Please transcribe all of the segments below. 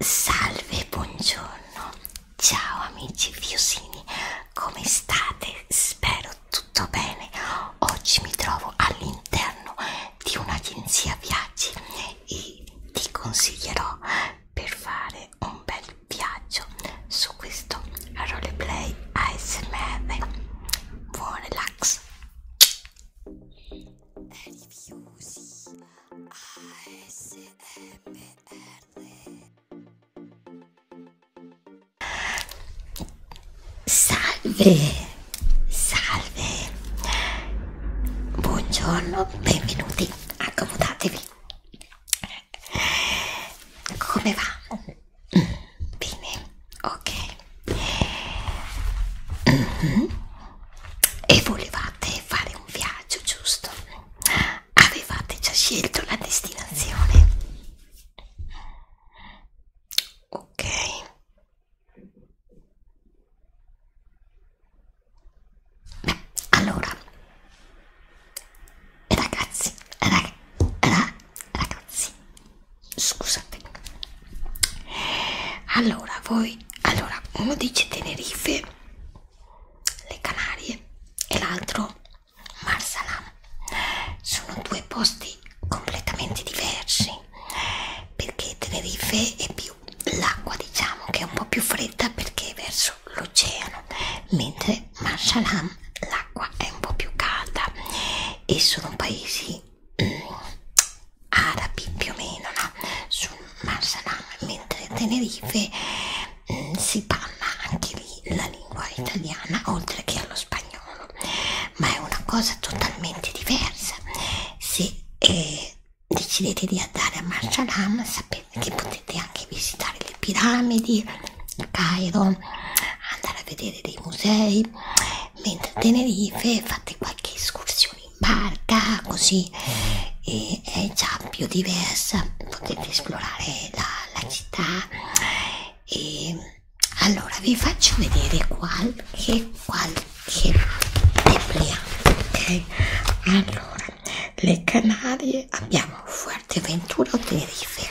Salve, buongiorno, ciao amici Fiosini, come state? Spero tutto bene. Oggi mi trovo all'interno di un'agenzia viaggi e ti consiglierò per fare un bel viaggio su questo roleplay ASMR. Buon relax! Review, sì. Salve, salve. Buongiorno, benvenuti, accomodatevi. Come va? Bene, ok. Mm -hmm e volevate fare un viaggio, giusto? Avevate già scelto la destinazione? Ok. Beh, allora, ragazzi, rag, rag, ragazzi, scusate, allora voi allora uno dice Tenerife le Canarie e l'altro Marsalam sono due posti completamente diversi perché Tenerife è più l'acqua diciamo che è un po' più fredda perché è verso l'oceano mentre Marsalam l'acqua è un po' più calda e sono paesi mm, arabi più o meno no? sul Marsalam, mentre Tenerife mh, mm, si parla anche lì la lingua italiana oltre che allo spagnolo, ma è una cosa totalmente diversa. Se eh, decidete di andare a Marsalam, sapete che potete anche visitare le piramidi, il Cairo, andare a vedere dei musei, mentre a Tenerife fate qualche escursione in barca così e, è già più diversa potete esplorare la, la città e allora vi faccio vedere qualche qualche depliant, ok allora le Canarie abbiamo Fuerteventura o Tenerife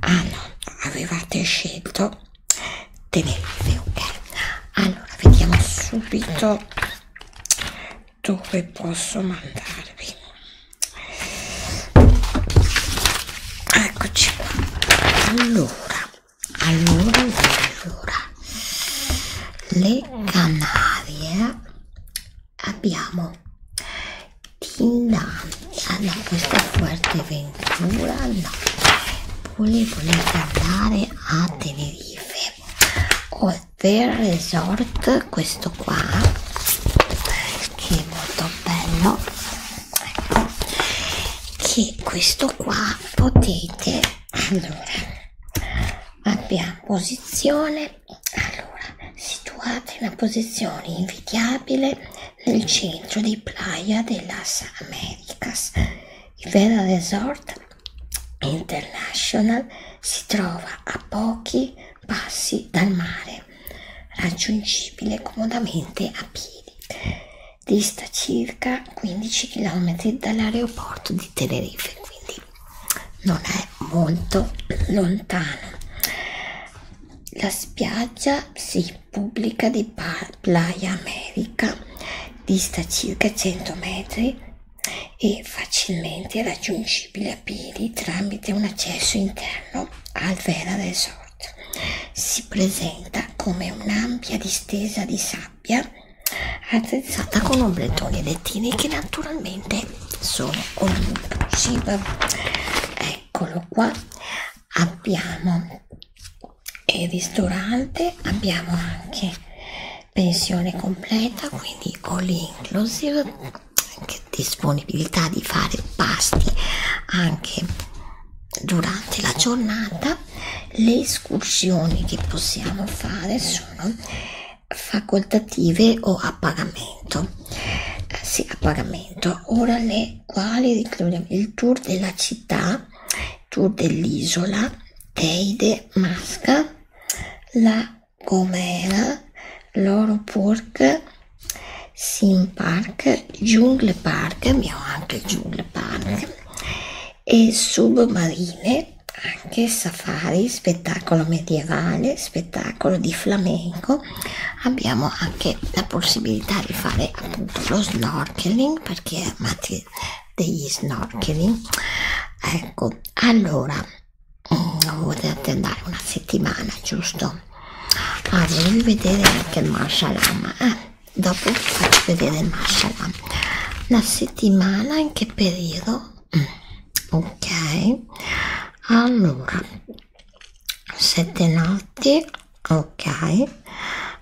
ah no avevate scelto Tenerife ok allora vediamo subito dove posso mandarvi eccoci qua allora allora allora le canarie abbiamo Finlandia ah, no questa è Fuerteventura no volevo andare a Tenerife o per resort questo qua che è molto bello ecco che questo qua potete allora abbiamo posizione allora situata in una posizione invidiabile nel centro di Playa de las Americas il Vera Resort International si trova a pochi passi dal mare, raggiungibile comodamente a piedi, dista circa 15 km dall'aeroporto di Tenerife, quindi non è molto lontano. La spiaggia si pubblica di Playa America dista circa 100 metri e facilmente raggiungibile a piedi tramite un accesso interno al Vera Resort. Si presenta come un'ampia distesa di sabbia attrezzata con ombrettoni e lettini che naturalmente sono all inclusive. Eccolo qua, abbiamo e ristorante abbiamo anche pensione completa quindi all inclusive anche disponibilità di fare pasti anche durante la giornata le escursioni che possiamo fare sono facoltative o a pagamento eh, sì a pagamento ora le quali ricordiamo il tour della città tour dell'isola, Teide, Masca, La Gomera, Loro Pork, Sim Park, Jungle Park, abbiamo anche il Jungle Park, e Submarine, anche Safari, spettacolo medievale, spettacolo di flamenco, abbiamo anche la possibilità di fare appunto lo snorkeling per chi è fare degli snorkeling ecco allora potete mm, andare una settimana giusto ah volevi vedere anche il mashalam eh? dopo faccio vedere il mashalam una settimana in che periodo mm, ok allora sette notti ok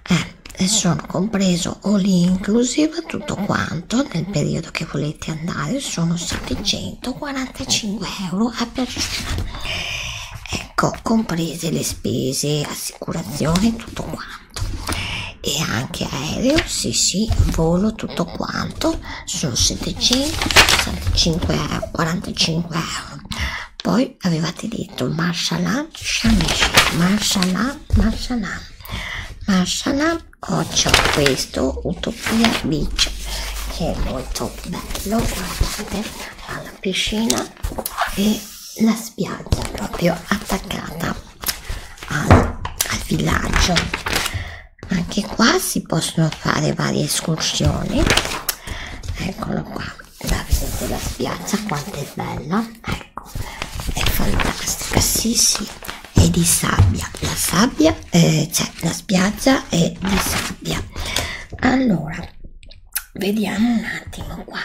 eh, e sono compreso all inclusive tutto quanto nel periodo che volete andare sono 745 euro a persona ecco comprese le spese assicurazione tutto quanto e anche aereo sì sì volo tutto quanto sono 745 euro 45 euro poi avevate detto Marshallah Shamish Marshallah Marshallah Mashallah ho questo Utopia Beach che è molto bello guardate ha la piscina e la spiaggia proprio attaccata al, al villaggio anche qua si possono fare varie escursioni eccolo qua la vedete la spiaggia quanto è bella ecco è fatta questa cassissi è di sabbia la sabbia eh, cioè la spiaggia è di sabbia allora vediamo un attimo qua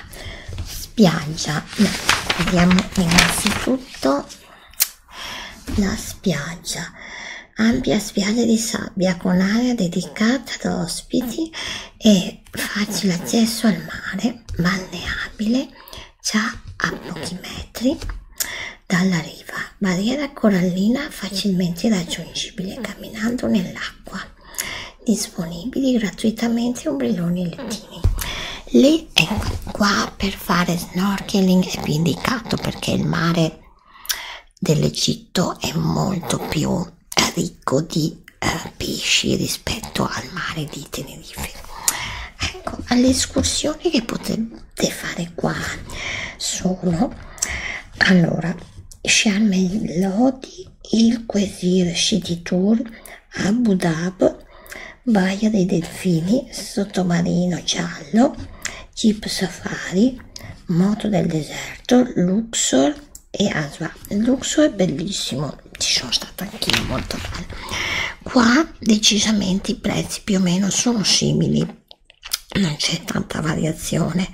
spiaggia no, vediamo innanzitutto la spiaggia ampia spiaggia di sabbia con area dedicata ad ospiti e facile accesso al mare balneabile già a pochi metri dalla riva, barriera corallina facilmente raggiungibile camminando nell'acqua, disponibili gratuitamente ombrelloni e lettini. Lì e qua per fare snorkeling è più indicato perché il mare dell'Egitto è molto più ricco di eh, pesci rispetto al mare di Tenerife. Ecco, alle escursioni che potete fare qua sono allora Sharm el-Lodi, il Quesir City Tour, Abu Dhabi, Baia dei Delfini, Sottomarino Giallo, Jeep Safari, Moto del Deserto, Luxor e Aswa. Luxor è bellissimo, ci sono stata anch'io molto bella qua decisamente i prezzi più o meno sono simili non c'è tanta variazione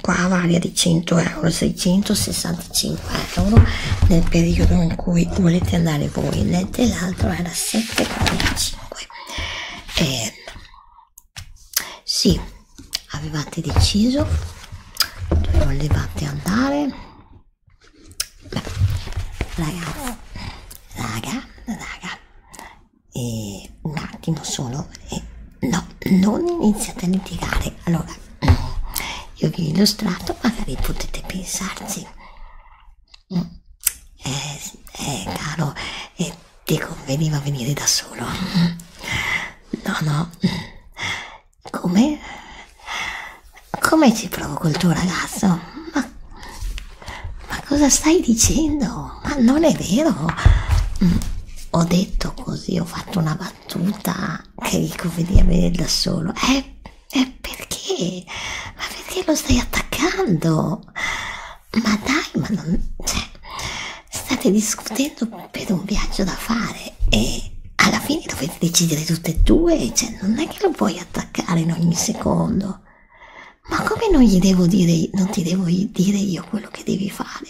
qua varia di 100 euro 665 euro nel periodo in cui volete andare voi l'altro era 7,45 eh, sì avevate deciso dove volevate andare Raga, raga, raga, e un attimo solo, e no, non iniziate a litigare. Allora, io vi ho illustrato, magari potete pensarci. Mm. Eh, eh caro, eh, ti conveniva venire da solo. No, no, come? Come ci provoco il tuo ragazzo? Ma, ma cosa stai dicendo? Ma non è vero! Mm, ho detto così, ho fatto una battuta che dico veniva bene da solo. Eh, eh, perché? Ma perché lo stai attaccando? Ma dai, ma non... Cioè, state discutendo per un viaggio da fare e alla fine dovete decidere tutte e due, cioè non è che lo puoi attaccare in ogni secondo. Ma come non gli devo dire, non ti devo dire io quello che devi fare?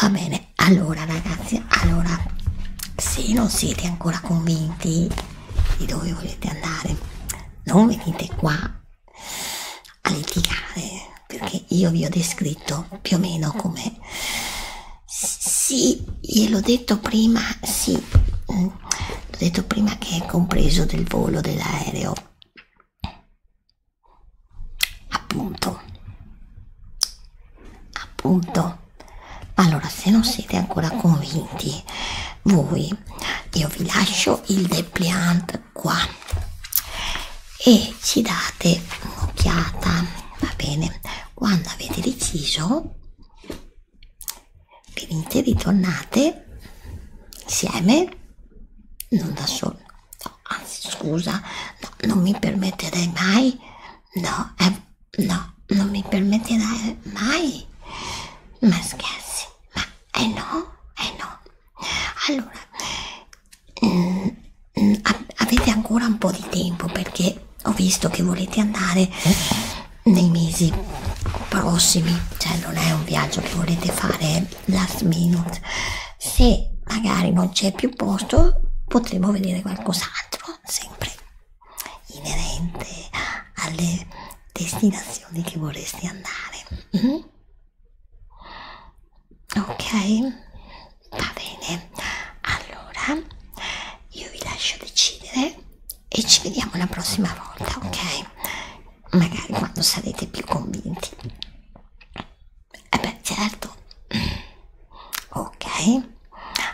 Va bene, allora ragazzi, allora se non siete ancora convinti di dove volete andare, non venite qua a litigare perché io vi ho descritto più o meno come sì, gliel'ho detto prima, sì, mm. l'ho detto prima che è compreso del volo dell'aereo. Appunto, appunto. Ma allora, se non siete ancora convinti, voi, io vi lascio il depliant qua e ci date un'occhiata, va bene? quando avete deciso venite ritornate insieme non da solo no, anzi scusa no, non mi permetterei mai no eh, no non mi permetterei mai ma scherzi ma eh no eh no allora mm, mm, avete ancora un po' di tempo perché ho visto che volete andare nei mesi prossimi, cioè non è un viaggio che volete fare last minute. Se magari non c'è più posto, potremo vedere qualcos'altro, sempre inerente alle destinazioni che vorresti andare. Mm -hmm. Ok, va bene allora io vi lascio decidere e ci vediamo la prossima volta ok magari quando sarete più convinti eh beh certo ok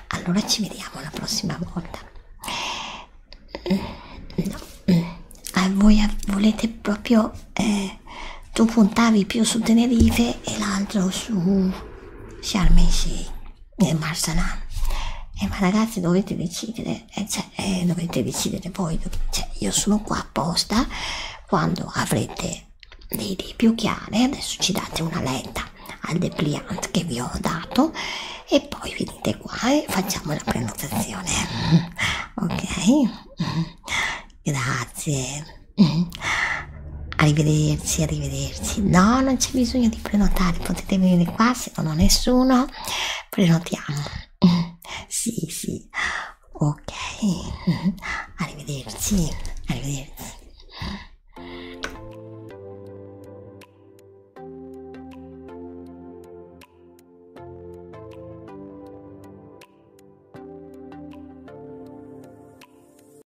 allora ci vediamo la prossima volta no a voi volete proprio eh, tu puntavi più su Tenerife e l'altro su Sharm el nel Marsalan eh, ma ragazzi dovete decidere eh, cioè, eh, dovete decidere voi cioè, io sono qua apposta quando avrete le idee più chiare adesso ci date una letta al depliant che vi ho dato e poi venite qua e facciamo la prenotazione ok grazie Mhm. Arrivederci, arrivederci. No, non c'è bisogno di prenotare, potete venire qua, se non ho nessuno, prenotiamo. Sì, sì. Ok. Arrivederci, arrivederci.